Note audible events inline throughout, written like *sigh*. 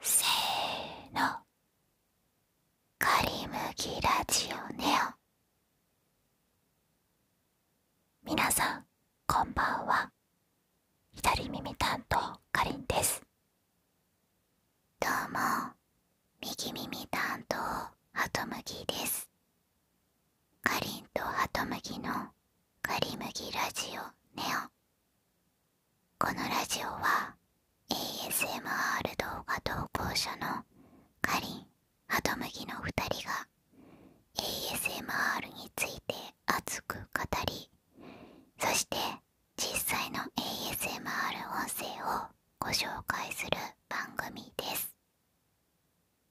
せーの「かりむきラジオネオ」皆さんこんばんは左耳担当かりんですどうも右耳担当ハトムギですかりんとハトムギの「かりむきラジオネオ」このラジオは ASMR 動画投稿者のかりんハトムギの2人が ASMR について熱く語りそして実際の ASMR 音声をご紹介する番組です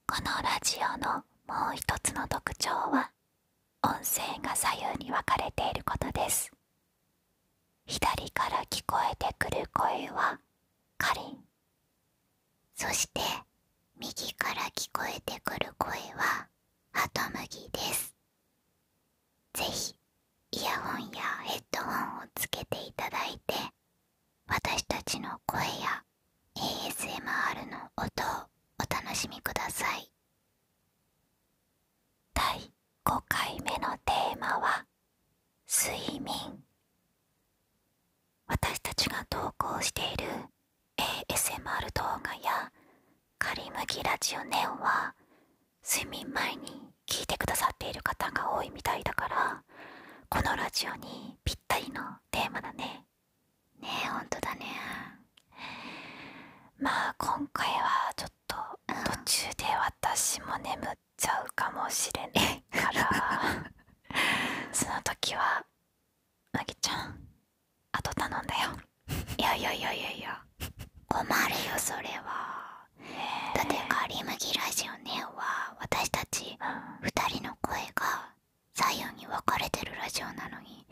このラジオのもう一つの特徴は音声が左右に分かれていることです左から聞こえてくる声はかりそして右から聞こえてくる声はハトムギです是非イヤホンやヘッドホンをつけていただいて私たちの声や ASMR の音をお楽しみください第5回目のテーマは「睡眠」私たちが投稿している ASMR 動画やカリムギラジオネオンは睡眠前に聞いてくださっている方が多いみたいだからこのラジオにぴったりのテーマだねねえほんとだねまあ今回はちょっと途中で私も眠っちゃうかもしれないから *laughs* その時はまぎちゃんあと頼んだよいやいやいやいやいや困るよそれは、だって「カリムギラジオネオ」は私たち2人の声が左右に分かれてるラジオなのに。に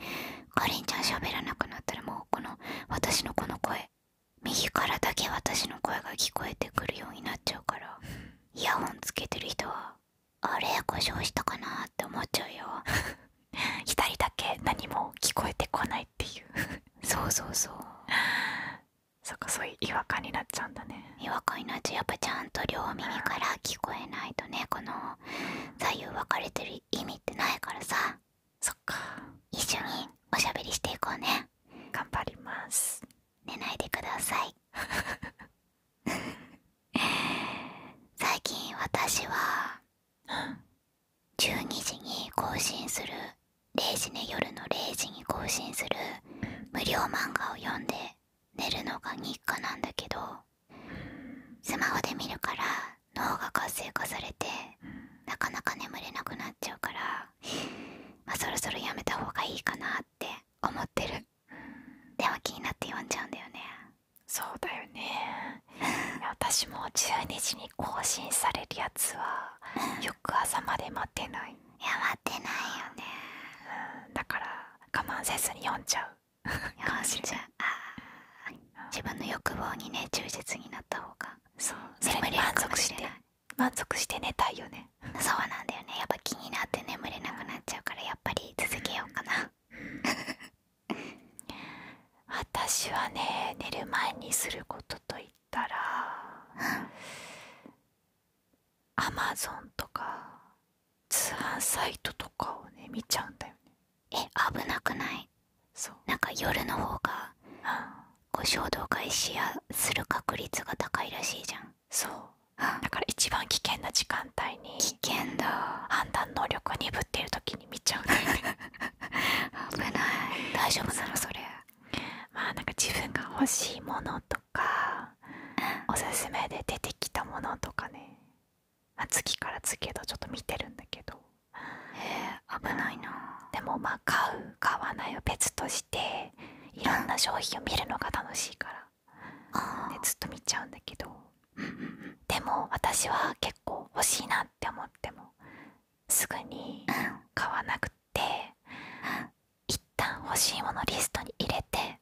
かりんちゃん喋らなくなったらもうこの私のこの声右からだけ私の声が聞こえてくるようになっちゃうから *laughs* イヤホンつけてる人はあれ故障したかなって思っちゃうよ *laughs* 左だけ何も聞こえてこないっていう *laughs* そうそうそうそっかそういう違和感になっちゃうんだね違和感になっちゃうやっぱちゃんと両耳から聞こえないとねこの左右分かれてる意味ってないからさそっか一緒におしゃべりしていこうね頑張ります寝ないでください *laughs* 最近私は12時に更新する0時ね夜の0時に更新する無料漫画を読んで寝るのが日課なんだけどスマホで見るから脳が活性化されて、なかなか眠れなくなっちゃうから、そろそろやめた方がいいかなって思ってる、うん、でも気になって読んじゃうんだよねそうだよね私も12時に更新されるやつは翌朝まで待ってないや待ってないよね、だから我慢せずに読んじゃうあんじゃうあ自分の欲望にね忠実になった方がそうそれに満足して満足して寝たいよねそうなんだよねやっぱ気になって眠れなくなっちゃうからやっぱり続けようかな *laughs* 私はね寝る前にすることといったらアマゾンとか通販サイトとかをね見ちゃうんだよねえ危なくないそうなんか夜の方がこ衝動買いしやする確率が高いらしいじゃんそう、だから一番危険な時間帯に危険だ判断能力が鈍ってる時に見ちゃう *laughs* 危ない大丈夫なのそれまあなんか自分が欲しいものとか、おすすめで出てきたものとかね、月から月へとちょっと見てるんだけどえ *laughs* 危ないなでもまあ買う買わないを別としていろんな商品を見るのが楽しいからでずっと見ちゃうんだけどでも私は結構欲しいなって思ってもすぐに買わなくって一旦欲しいものリストに入れて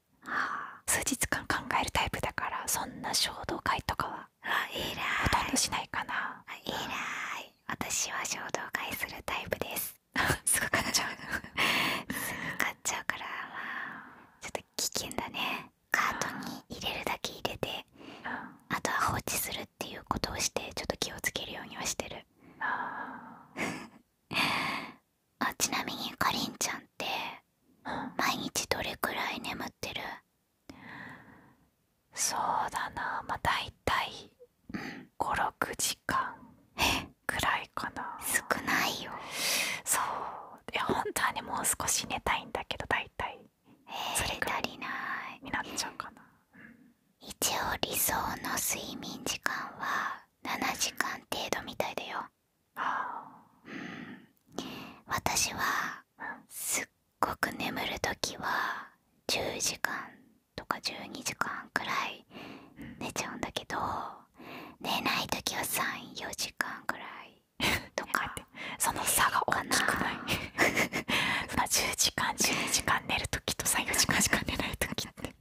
数日間考えるタイプだからそんな衝動買いとかはあいいらほと私は衝動買いするタイプです *laughs* すぐ買っちゃうっちゃうからちょっと危険だねカートに入れるだけ入れて、あとは放置するっていうことをしてちょっと気をつけるようにはしてる *laughs* ちなみにかりんちゃんって毎日どれくらい眠ってるそうだなまあ大体56時間くらいかな少ないよそういや本当はねもう少し寝たいんだけど大体それ足りないになっちゃうかな、一応理想の睡眠時間は7時間程度みたいだよああうん私はすっごく眠る時は10時間とか12時間くらい寝ちゃうんだけど寝ない時は34時間くらいとかって、その差が大きくない10 *laughs* 時間12時間寝る時と34時間しか寝ない時って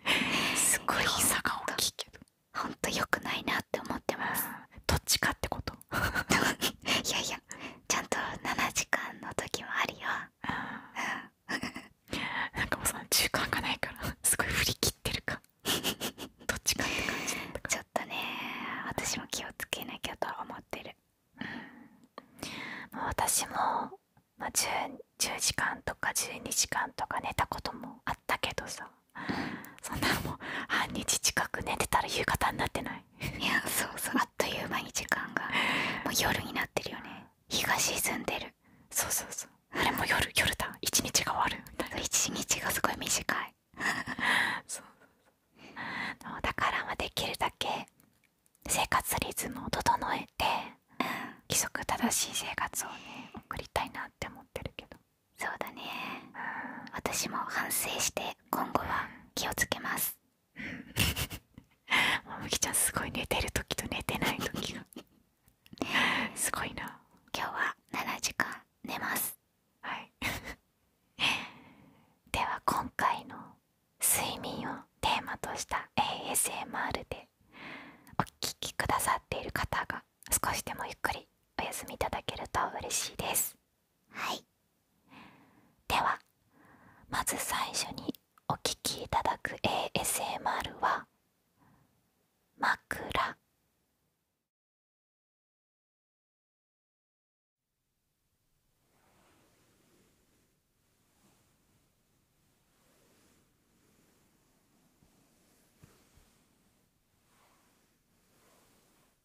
*laughs* すごい差が大きいけどほんと良くないなって思ってます、どっちかってこと *laughs* いやいやちゃんと7時間の時もあるよなんかもうその中間がないからすごい振り切ってるかどっちかって感じだったかちょっとね私も気をつけなきゃとは思ってる、うん、もう私も、まあ、10, 10時間とか12時間とか寝たこともあったけどさそんなもう半日近く寝てたら夕方になってないいやそうそうあっという間に時間がもう夜になってるよね日が沈んでるそうそうそうあれもう夜夜だ一日が終わる一日がすごい短い *laughs* そうそうだからできるだけ生活リズムを整えて、うん、規則正しい生活をね送りたいなって思ってるけどそうだね、うん、私も反省して今後は気をつけますもむきちゃんすごい寝てる時と寝てない時がすごいな今日は7時間寝ますでは今回の睡眠をテーマとした ASMR でお聞きくださっている方が少しでもゆっくりお休みいただけると嬉しいですはいではまず最初にお聴きいただく ASMR は「枕」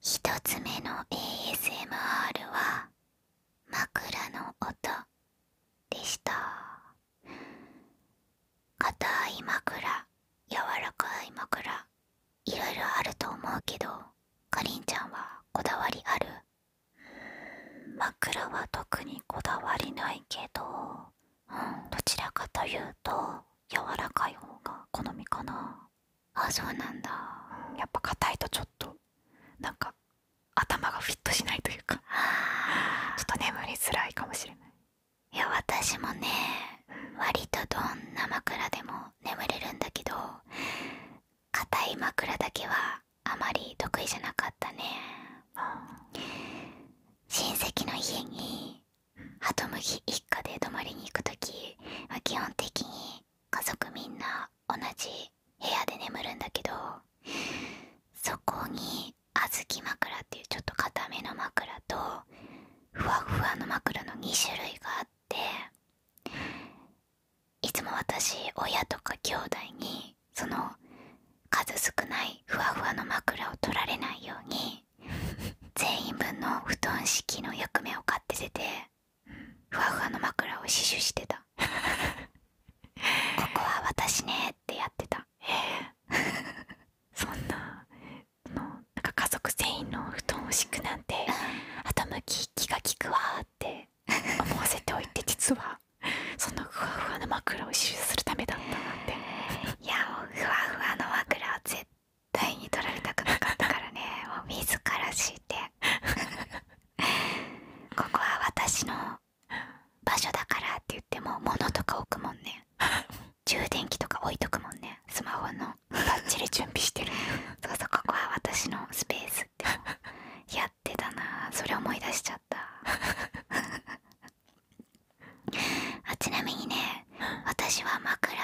一つ目の ASMR は枕の音でした硬い枕柔らかい枕いろいろあると思うけどかりんちゃんはこだわりある枕は特にこだわりないけど、どちらかというと柔らかい方が好みかなあそうなんだやっぱ硬いとちょっとなんか頭がフィットしないというかちょっと眠りづらいかもしれないいや私もね割とどんな枕でも眠れるんだけど硬い枕だけはあまり得意じゃなかったね親戚の家にハトムギ一家で泊まりに行く時、ま基本的に家族みんな同じ部屋で眠るんだけどそこに小豆枕っていうちょっと固めの枕とふわふわの枕の2種類があっていつも私親とか兄弟にその数少ないふわふわの枕を取られないように全員分の布団式の役目を買ってててふわふわの枕を死守してた *laughs* ここは私ねってやってた *laughs* そんな家族全員の布団を敷くなんて、うん、き気が利くわーって思わせておいて実はそのふわふわの枕を死守するためだったなんて *laughs* いやもうふわふわの枕は絶対に取られたくなかったからねもう自ら敷いて *laughs* ここは私の場所だからって言っても物とか置くもんね充電器とか置いとくもんねスマホのバッチリ準備してる *laughs* そうそうここは私のスペースってやってたなそれ思い出しちゃった *laughs* ちなみにね私は枕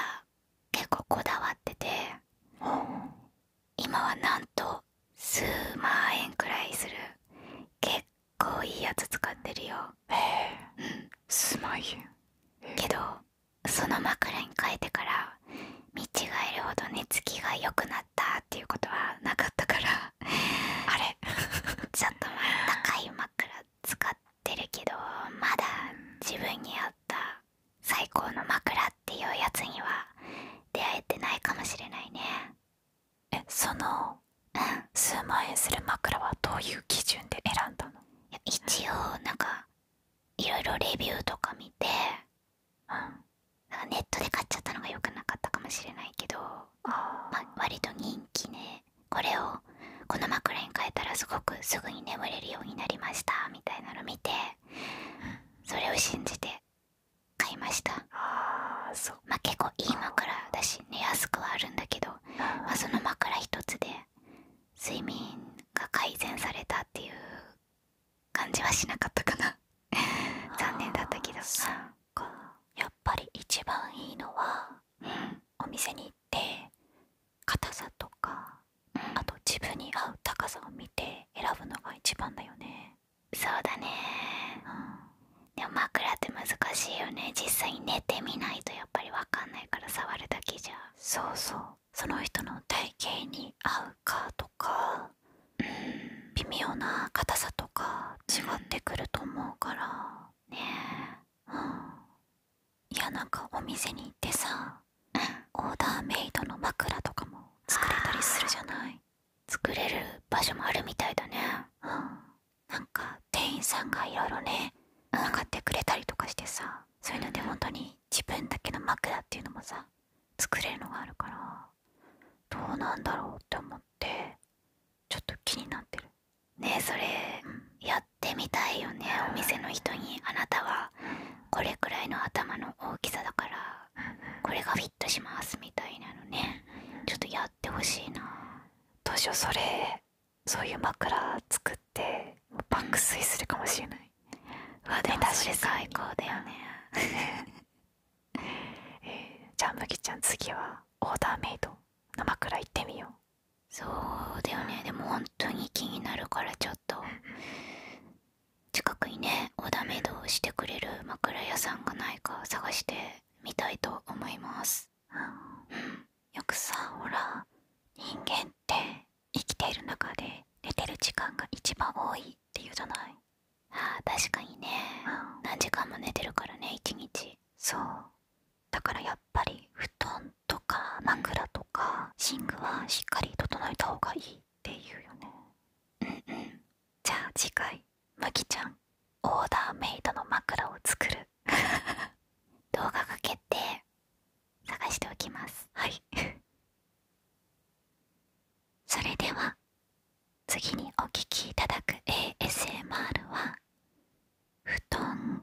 結構こだわってて今はなんと数万円くらいする結構いいやつ使ってるよええうん数万円けどその枕に変えてから見違えるほど寝つきが良くなったっていうことはなかったからあれちょっと高い枕使ってるけどまだ自分に合った最高の枕っていうやつには出会えてないかもしれないねえその数万円する枕はどういう基準で選んだの一応なんかいろいろレビューとか見て、ネットで買っちゃったのがよくなかったかもしれないけど割と人気ねこれをこの枕に変えたらすごくすぐに眠れるようになりましたみたいなの見てそれを信じて買いましたあまあ結構いい枕だし寝やすくはあるんだけど、その枕一つで睡眠が改善されたっていう感じはしなかったかな残念だったけどやっぱり一番いいのは、お店に行って硬さとかあと自分に合う高さを見て選ぶのが一番だよねそうだね、でも枕って難しいよね実際に寝てみないとやっぱり分かんないから触るだけじゃそうそうその人の体型に合うかとか、うん、微妙な硬さとか違ってくると思うから、ねえ、うん、いやなんかお店に行ってさオーダーメイドの枕とかも作れたりするじゃない作れる場所もあるみたいだねうんなんか店員さんがいろいろね買ってくれたりとかしてさそういうので本当に自分だけの枕っていうのもさ作れるのがあるからどうなんだろうって思ってちょっと気になってるねえそれ、やってみたいよねお店の人にあなたはこれくらいの頭の大きさだからこれがフィットしますみたいなのねちょっとやってほしいな当初それそういう枕作って爆睡するかもしれない、うん、う最高だよねえー、じゃあ麦ちゃん次はオーダーメイドの枕行ってみようそうだよねでも本当に気になるからちょっと。と近くにねオダメドをしてくれる枕屋さんがないか探してみたいと思いますうんよくさほら人間って生きている中で寝てる時間が一番多いっていうじゃないああ確かにね、何時間も寝てるからね一日そうだからやっぱり布団とか枕とか寝具はしっかり整えた方がいいっていうよねんうんじゃあ次回むきちゃんオーダーメイドの枕を作る動画かけて、探しておきますはいそれでは次にお聞きいただく ASMR は布団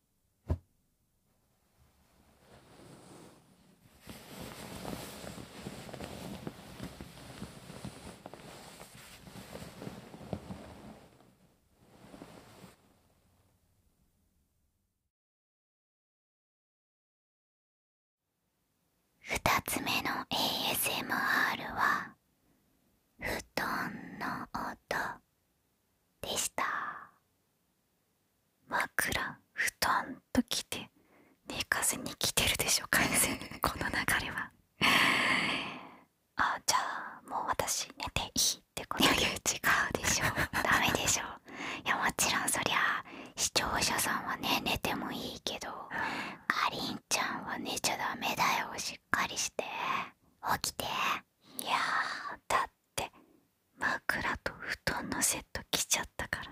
2つ目の ASMR は布団の音でした枕布団ときて寝かせに来てるでしょ完全にこの流れはあじゃあもう私寝ていいってこといや、違うでしょ *laughs* ダメでしょいやもちろんそりゃ視聴者さんはね寝てもいいけどかりんちゃんは寝ちゃダメだよしっかりして起きていやだってって枕と布団のセット着ちゃったから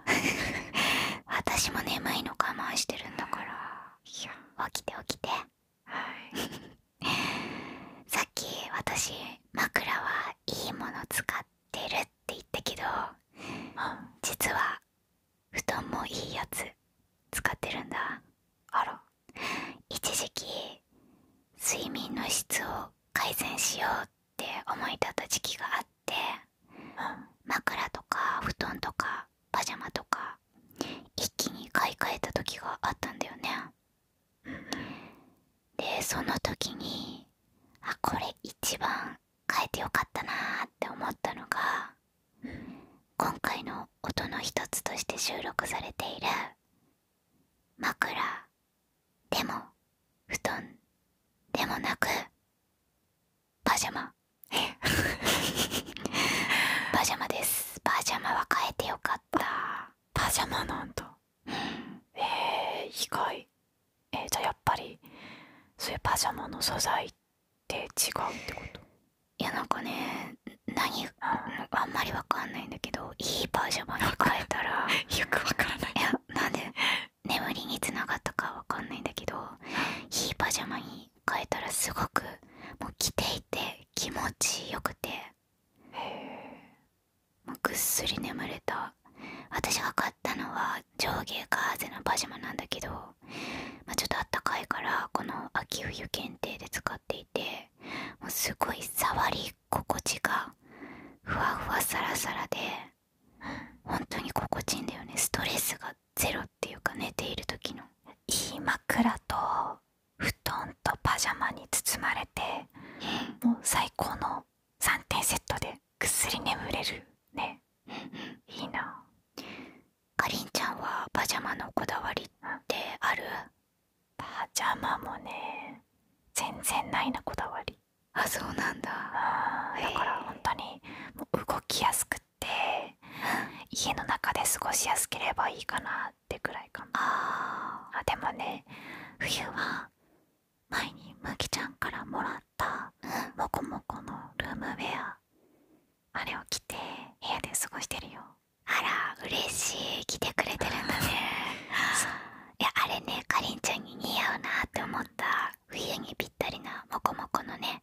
*laughs* 私も眠いの我慢してるんだから起きて起きて *laughs* さっき私枕はいいもの使ってるって言ったけど、実は布団もいいやつ使ってるんだあら一時期睡眠の質を改善しようって思い立った時期があって、枕とか布団とかパジャマとか一気に買い替えた時があったんだよね。でその時にあこれ一番変えてよかったなーって思ったのが、今回の音の一つとして収録されている枕でも布団でもなくパジャマ *laughs* パジャマですパジャマは変えてよかったパジャマなんだ、え意外えじゃあやっぱりそういうパジャマの素材って違うってこといやなんかね何あんまりわかんないんいだけどいいパジャマに変えたら *laughs* よくわからないいやなんで眠りにつながったかわかんないんだけどいいパジャマに変えたらすごくもう着ていて気持ちよくてもぐっすり眠れた私が買ったのは上下ガーゼのパジャマなんだけど、まちょっとあったかいからこの秋冬限定で使っていてもうすごい触り心地がふわふわサラサラで本当に心地いいんだよねストレスがゼロっていうか寝ている時のいい枕と布団とパジャマに包まれてもう最高の3点セットでぐっすり眠れるねいいなかりんちゃんはパジャマのこだわりってあるパジャマもね全然ないなこだわりあそうなんだ、だからほんとに動きやすくって家の中で過ごしやすければいいかなってくらいかもああでもね冬は前にむきちゃんからもらったモコモコのルームウェアあれを着て部屋で過ごしてるよあら嬉しい来てくれてるんだね *laughs* いあれねかりんちゃんに似合うなって思った冬にぴったりなモコモコのね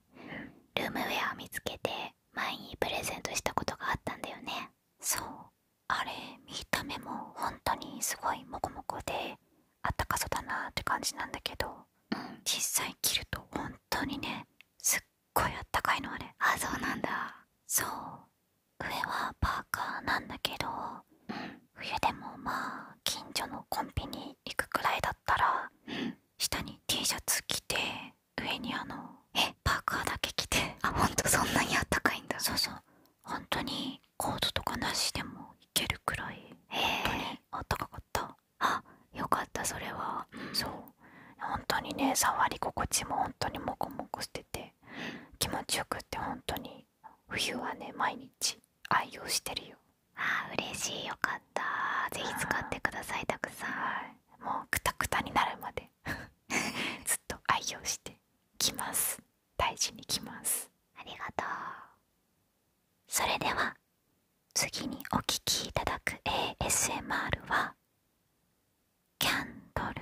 ルームウェアを見つけて前にプレゼントしたことがあったんだよねそうあれ見た目も本当にすごいモコモコであったかそうだなって感じなんだけど、うん、実際着ると本当にねすっごいあったかいのあれあそうなんだそう上はパーカーなんだけど、冬でもまあ近所のコンビニ行くくらいだったら、下に T シャツ着て上にあのパーカーだけ着てあほんとそんなにあったかいんだそうそうほんとにコートとかなしでもいけるくらい本当にあったかかったあよかったそれは、そうほんとにね触り心地もほんとにモコモコしてて気持ちよくってんとに冬はね毎日愛用してるよああ嬉しいよかったぜひ使ってくださいたくさん、もうクタクタになるまで *laughs* ずっと愛用してきます大事にきますありがとうそれでは次にお聴きいただく ASMR は「キャンドル」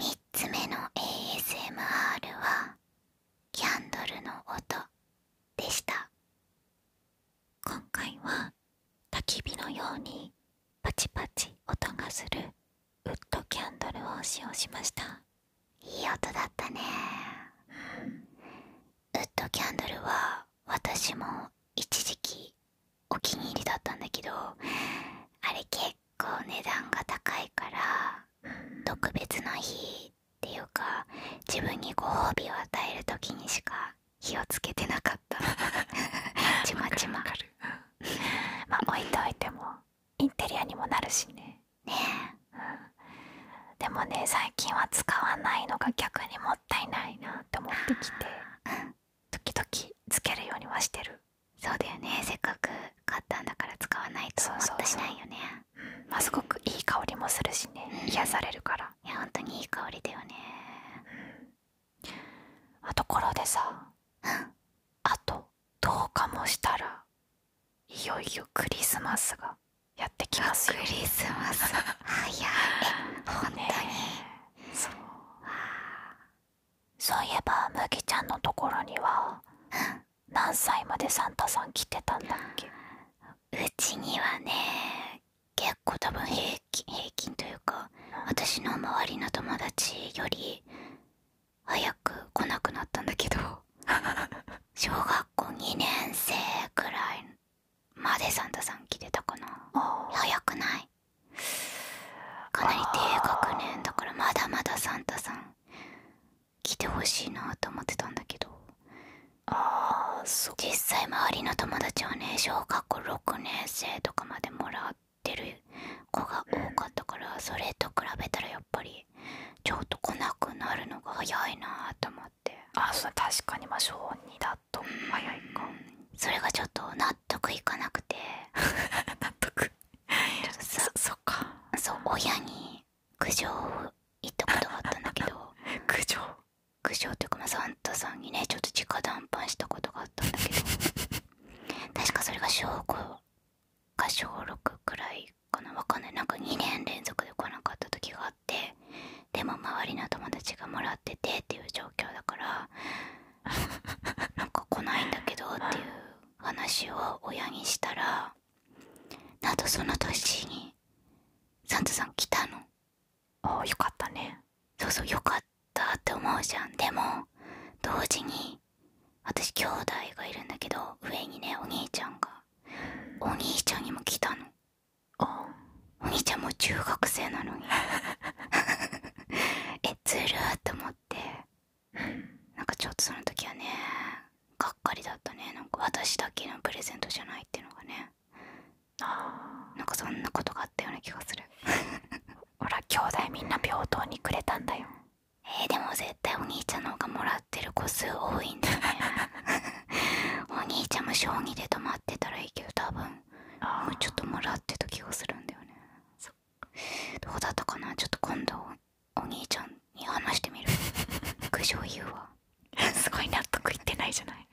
3つ目の ASMR はキャンドルの音でした今回は焚き火のようにパチパチ音がするウッドキャンドルを使用しましたいい音だったね、ウッドキャンドルは私も一時期お気に入りだったんだけどあれ結構値段が高いから特別な日っていうか自分にご褒美を与える時にしか火をつけてなかった *laughs* ちまちままあ置いといてもインテリアにもなるしねねえ、うん、でもね最近は使わないのが逆にもったいないなって思ってきて、時々つけるようにはしてるそうだよねせっかく買ったんだから使わないともったいないよねすごくいい香りもするしね、癒やされるからいやほ本当にいい香りだよね、あところでさ *laughs* あと10日もしたらいよいよクリスマスがやってきますよクリスマス早い本当に、そうそういえば麦ちゃんのところには *laughs* 何歳までサンタさん来てたんだっけうちにはね結構多分平均というか私の周りの友達より早く来なくなったんだけど *laughs* 小学校2年生くらいまでサンタさん来てたかな早くないかなり低学年だからまだまだサンタさん来てほしいなと思ってたんだけどああ実際周りの友達はね小学校6年生とかまで。もらってる子が多かったからそれと比べたらやっぱりちょっと来なくなるのが早いなと思ってあそ確かにまあ小2だと早いかそれがちょっと納得いかなくて *laughs* 納得そっかそう親に苦情を言ったことがあったんだけど *laughs* 苦情苦笑というか、まサンタさんにねちょっと直談判したことがあったんだけど *laughs* 確かそれが小5か小6くらいかなわかんないなんか2年連続で来なかった時があってでも周りの友達がもらっててっていう状況だからなんか来ないんだけどっていう話を親にしたらあとその年にサンタさん来たの。あよかったねそうそうよかったって思うじゃんでも同時に私兄弟がいるんだけど上にねお兄ちゃんがお兄ちゃんにも来たのあお兄ちゃんも中学生なのに *laughs* えずるって思ってなんかちょっとその時はねがっかりだったねなんか私だけのプレゼントじゃないっていうのがねなんかそんなことがあったような気がする *laughs* ほら兄弟みんな平等にくれたんだよえでも絶対お兄ちゃんの方がもらってる個数多いんだよね *laughs* お兄ちゃんも将棋で止まってたらいいけど多分もうちょっともらってた気がするんだよねそう、どうだったかなちょっと今度お兄ちゃんに話してみる *laughs* 苦情言うわすごい納得いってないじゃない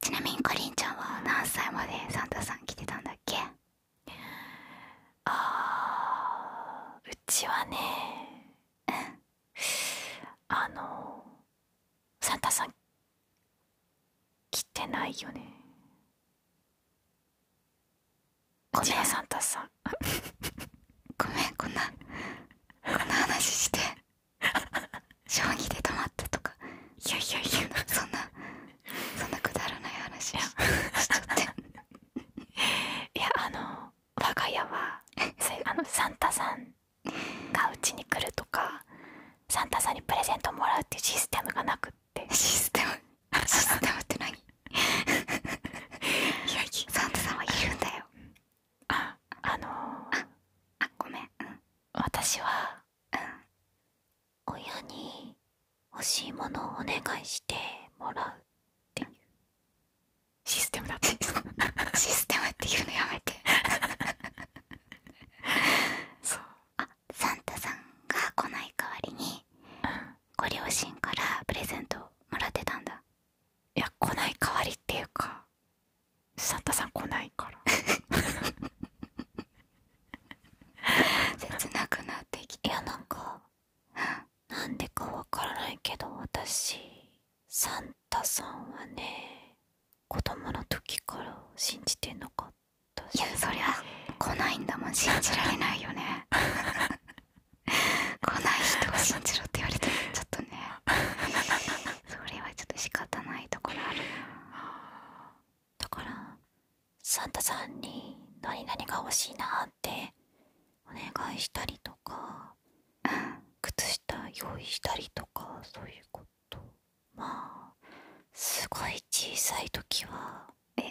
ちなみにかりんちゃんは何歳までサンタさん来てたんだっけあーうちはねうんあのサンタさん来てないよねごめんサンタさんごめんこんなこんな話して *laughs* 将棋で止まったとかいやいやいやそんなそんなくだらない話しち *laughs* いやあの我が家はあのサンタさんがうちに来るとかサンタさんにプレゼントもらうっていうシステムがなくってシステムシステムって何 *laughs* サンタさんはいるんだよああのああごめん、私はうん親に欲しいものをお願いしてもらうっていうシステムだったんです *laughs* システムっていうのやめて *laughs* そうあサンタさんが来ない代わりに、ご両親からプレゼントもらってたんだいや来ない代わりっていうかサンタさん来ないから *laughs* 切なくなってきていやなんかなんでかわからないけど私サンタさんはね子供の時から信じてなかったしいやそりゃ来ないんだもん信じられないよね *laughs* 来ない人が信じろって言われてもちょっとねそれはちょっと仕方ないところあるなだからサンタさんに何々が欲しいなってお願いしたりとか、靴下用意したりとかそういうことまあすごい小さい時は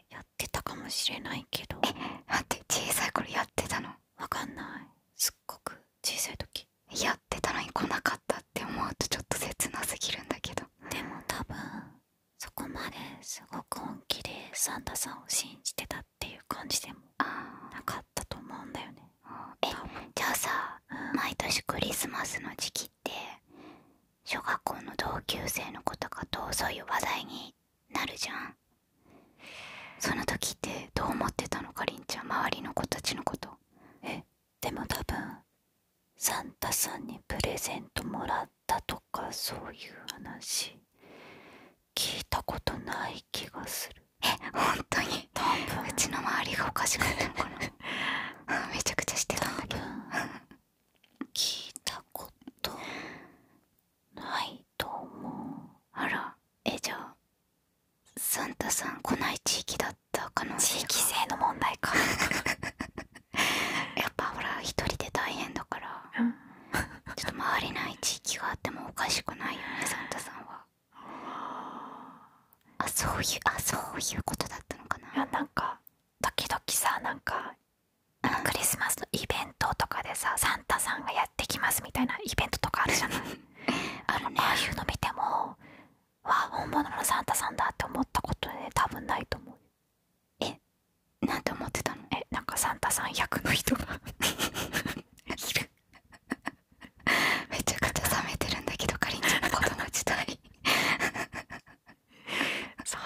やってたかもしれないけどえ待って小さい頃やってたのわかんないすっごく小さい時やってたのに来なかったって思うとちょっと切なすぎるんだけどでも多分そこまですごく本気でサンタさんを信じてたっていう感じでもなかったと思うんだよねえじゃあさ、毎年クリスマスの時期って小学校の同級生の子とかとそういう話題になるじゃんその時ってどう思ってたのか凛ちゃん周りの子たちのことえでも多分サンタさんにプレゼントもらったとかそういう話聞いたことない気がするえ本当に多分うちの周りがおかしかったのかなめちゃくちゃしてたんだけど聞いたことないと思うあらえじゃあサンタさん来ない地域だった。地域性の問題か *laughs* やっぱほら一人で大変だから、ちょっと回れない地域があってもおかしくないよねサンタさんはあそういうあそういうことだったのかないなんか時々さなんかクリスマスのイベントとかでさサンタさんがやってきますみたいなイベントとかあるじゃない *laughs* あるねああいうの見てもわ本物のサンタさんだって思ったことね多分ないと思うえなんて思ってたのえなんかサンタさん役の人がいるめちゃくちゃ冷めてるんだけどかりんちゃんの子供時代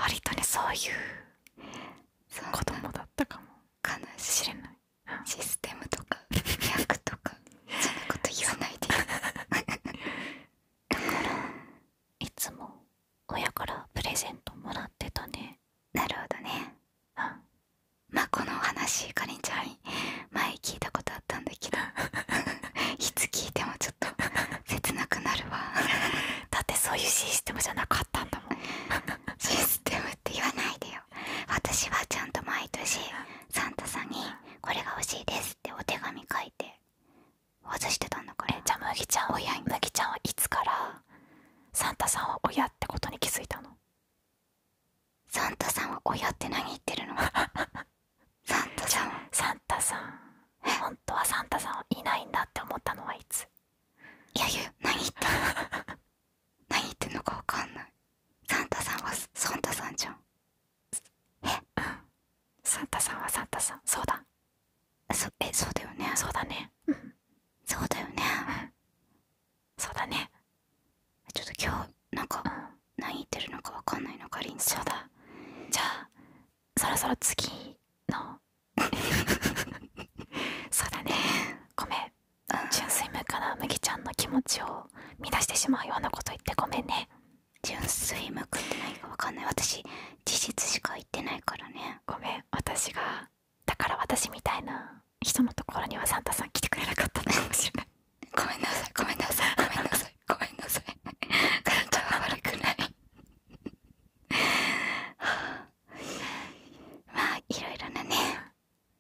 割とねそういう子供だったかもかもないシステムとか役とかそんなこと言わないでいつも親からプレゼントもらってたねなるほどねうんまこの話かりんちゃん前聞いたことあったんだけど *laughs* いつ聞いてもちょっと切なくなるわ *laughs* だってそういうシステムじゃなかったんだもん *laughs* システムって言わないでよ私はちゃんと毎年サンタさんにこれが欲しいですってお手紙書いて外してたのかなえじゃあぎちゃん親に麦ちゃんはいつからサンタさんは親ってことに気づいたのサンタさんは親って何言ってるの *laughs* サンタさんサンタさん本当はサンタさんはいないんだって思ったのはいついやゆ何言ってんの *laughs* 何言ってんのか分かんないサンタさんはサンタさんじゃんえうサンタさんはサンタさんそうだそえそうだよねそうだねうんそうだよねそうだねちょっと今日なんか、何言ってるのかわかんないのかりんそうだじゃあそろそろ次の *laughs* そうだねごめん、うん、純粋無から麦ちゃんの気持ちを乱してしまうようなこと言ってごめんね純粋向くってないかわかんない私事実しか言ってないからねごめん私がだから私みたいな人のところにはサンタさん来てくれなかったのかもしれない *laughs* ごめんなさいごめんなさいごめんなさいごめんなさい悪くないまあいろいろなね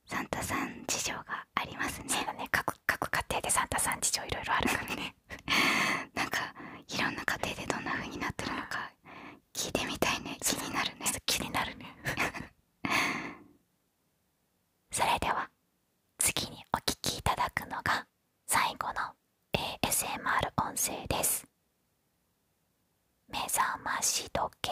サンタさん事情がありますね各各家庭でサンタさん事情いろいろあるからねなんかいろんな家庭でどんな風になってるのか聞いてみたいね気になるね気になるね *laughs* それでは次にお聞きいただくのが最後の ASMR 音声です目覚まし時計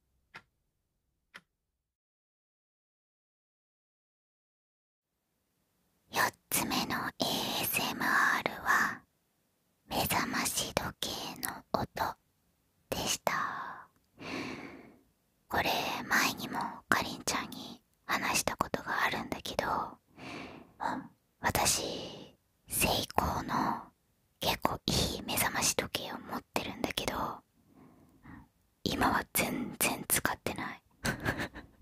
4つ目の ASMR は目覚まし時計の音でしたこれ前にもかりんちゃんに話したことがあるんだけど、私成功の結構いい目覚まし時計を持ってるんだけど今は全然使ってない *laughs*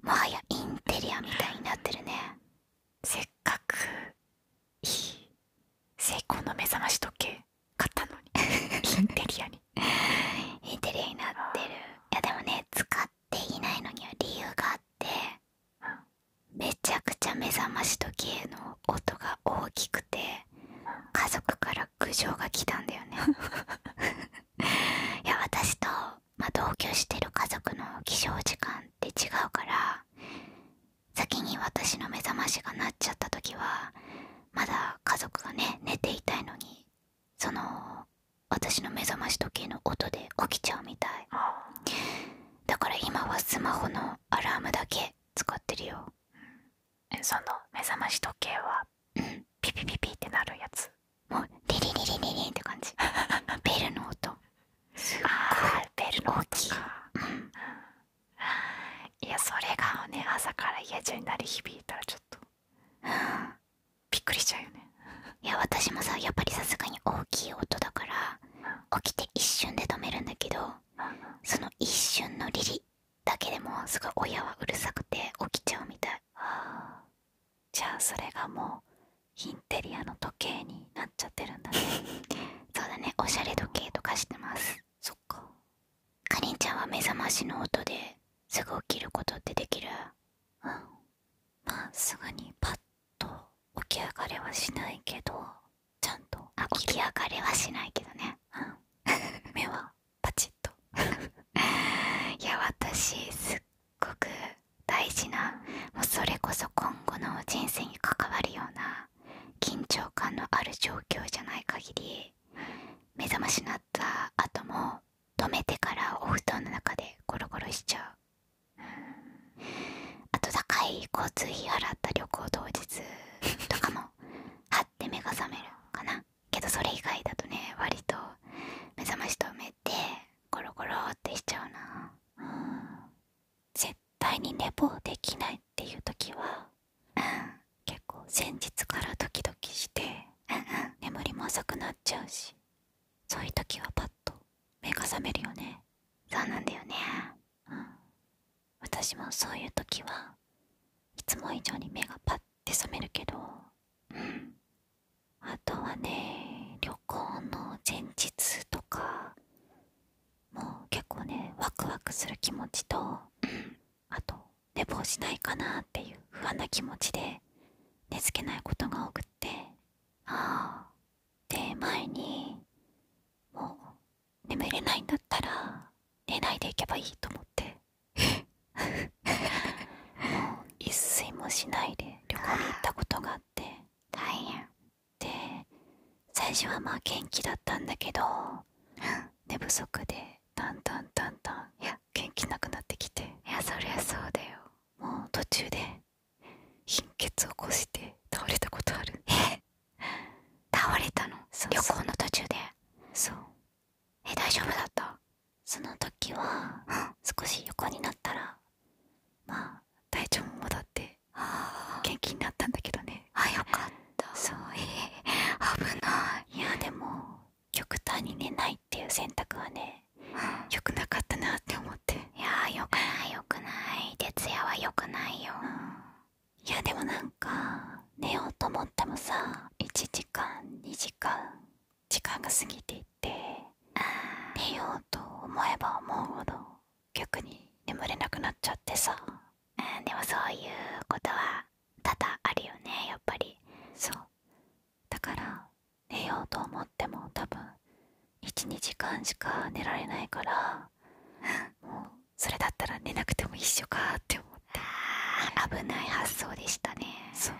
もはやインテリアみたいになってるねせっかくいい成功の目覚まし時計買ったのにインテリアに *laughs* インテリアになってるいやでもね使っていないのには理由があってめちゃくちゃ目覚まし時計の音がが大きくて家族から苦情が来たんだよね *laughs* いや私と、ま同居してる家族の起床時間って違うから先に私の目覚ましが鳴っちゃった時はまだ家族がね寝ていたいのにその私の目覚まし時計の音で起きちゃうみたいだから今はスマホのアラームだけ使ってるよその目覚まし時計は、うん、ピピピピってなるやつもうリリリリリリンって感じ *laughs* ベルの音すっベルの音か、うん、いやそれがね朝から家中になり響いたらちょっと、びっくりしちゃうよねいや私もさやっぱりさすがに大きい音だから起きて一瞬で止めるんだけどその一瞬のリリだけでもすごい親はうるさくて起きちゃうみたいじゃあそれがもうインテリアの時計になっちゃってるんだそうだねおしゃれ時計とかしてますそっかかりんちゃんは目覚ましの音ですぐ起きることってできるまっすぐにパッと起き上がれはしないけどちゃんと起き上がれはしないけどね、うん、*laughs* 目はパチッと *laughs* いや私すっごく大事なそれこそ今後の人生に関わるような緊張感のある状況じゃない限り目覚ましになった後も止めてからお布団の中でゴロゴロしちゃう、うん、あと高い交通費払った旅行当日とかも張って目が覚めるかなけどそれ以外だとね割と目覚まし止めてコロコロってしちゃうな、絶対に寝坊できないっていう時は、結構先日からドキドキして、眠りも浅くなっちゃうしそういう時はパッと目が覚めるよねそうなんだよね、私もそういう時はいつも以上に目がパッて覚めるけどあとはね旅行の前日とかもう結構ねワクワクする気持ちと、あと寝坊しないかなっていう不安な気持ちで寝つけないことが多くってああで前にもう眠れないんだったら寝ないでいけばいいと思って *laughs* もう一睡もしないで旅行に行ったことがあって大変で最初はまあ元気だったんだけど寝不足でだんだんだんだん元気なくなってきていやそりゃそうだよもう途中で貧血を起こして倒れたことある *laughs* 倒れたの旅行の途中でそうえ大丈夫だったその時は、少し横になったらまあ体調も戻って元気になったんだけどねあよかったそうええ。危ないいやでも極端に寝ないっていう選択はね、よくなかったなって思っていやよくないよくない徹夜はよくないよ、いやでもなんか寝ようと思ってもさ1時間2時間時間が過ぎていって寝ようと思えば思うほど逆に眠れなくなっちゃってさでもそういうことは多々あるよねやっぱりそうだから寝ようと思っても多分12時間しか寝られないからもうそれだったら寝なくても一緒かって思って危ない発想でしたねそう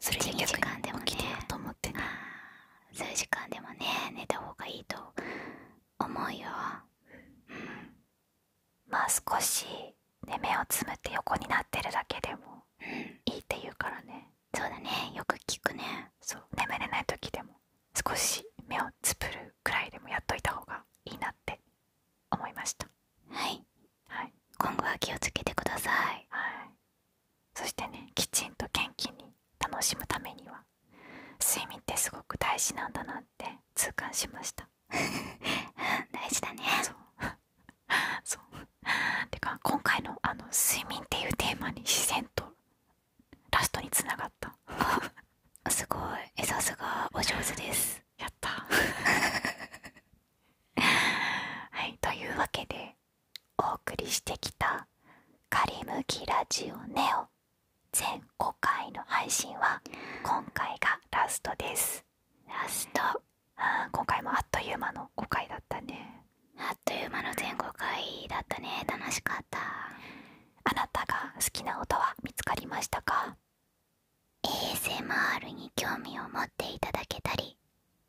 それで1時間でも、ね、起きてよと思ってね数時間でもね寝た方がいいと思うよ、うん、まあ少し、ね、目をつむって横になってるだけでも、うん、いいって言うからねそうだねよく聞くねそう眠れない時でも少し目をつぶるくらいでもやっといた方がいいなって思いましたはい、今後は気をつけてください、そしてねきちんと元気に楽しむためには睡眠ってすごく大事なんだなって痛感しました *laughs* 大事だねそう *laughs* そうてか今回のあの睡眠っていうテーマに自然とラストにつながった *laughs* すごいさすがお上手ですやった *laughs* はいというわけでお送りしてきた「仮リきラジオネオ」全5回の配信は今回がラストですラストあ今回もあっという間の5回だったねあっという間の全5回だったね楽しかったあなたが好きな音は見つかりましたか ASMR に興味を持っていただけたり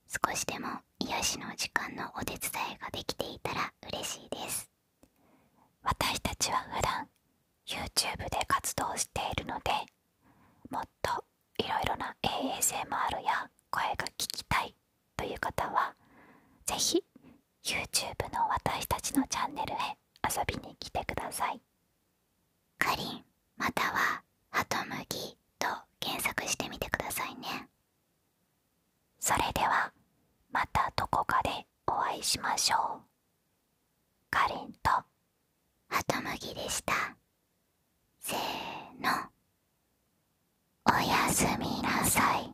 少しでも癒しの時間のお手伝いができていたら嬉しいです私たちは普段 YouTube で活動しているのでもっといろいろな ASMR や声が聞きたいという方は是非 YouTube の私たちのチャンネルへ遊びに来てくださいかりんまたは「ハトムギ」と検索してみてくださいねそれではまたどこかでお会いしましょうかりんとハトムギでしたせーのおやすみなさい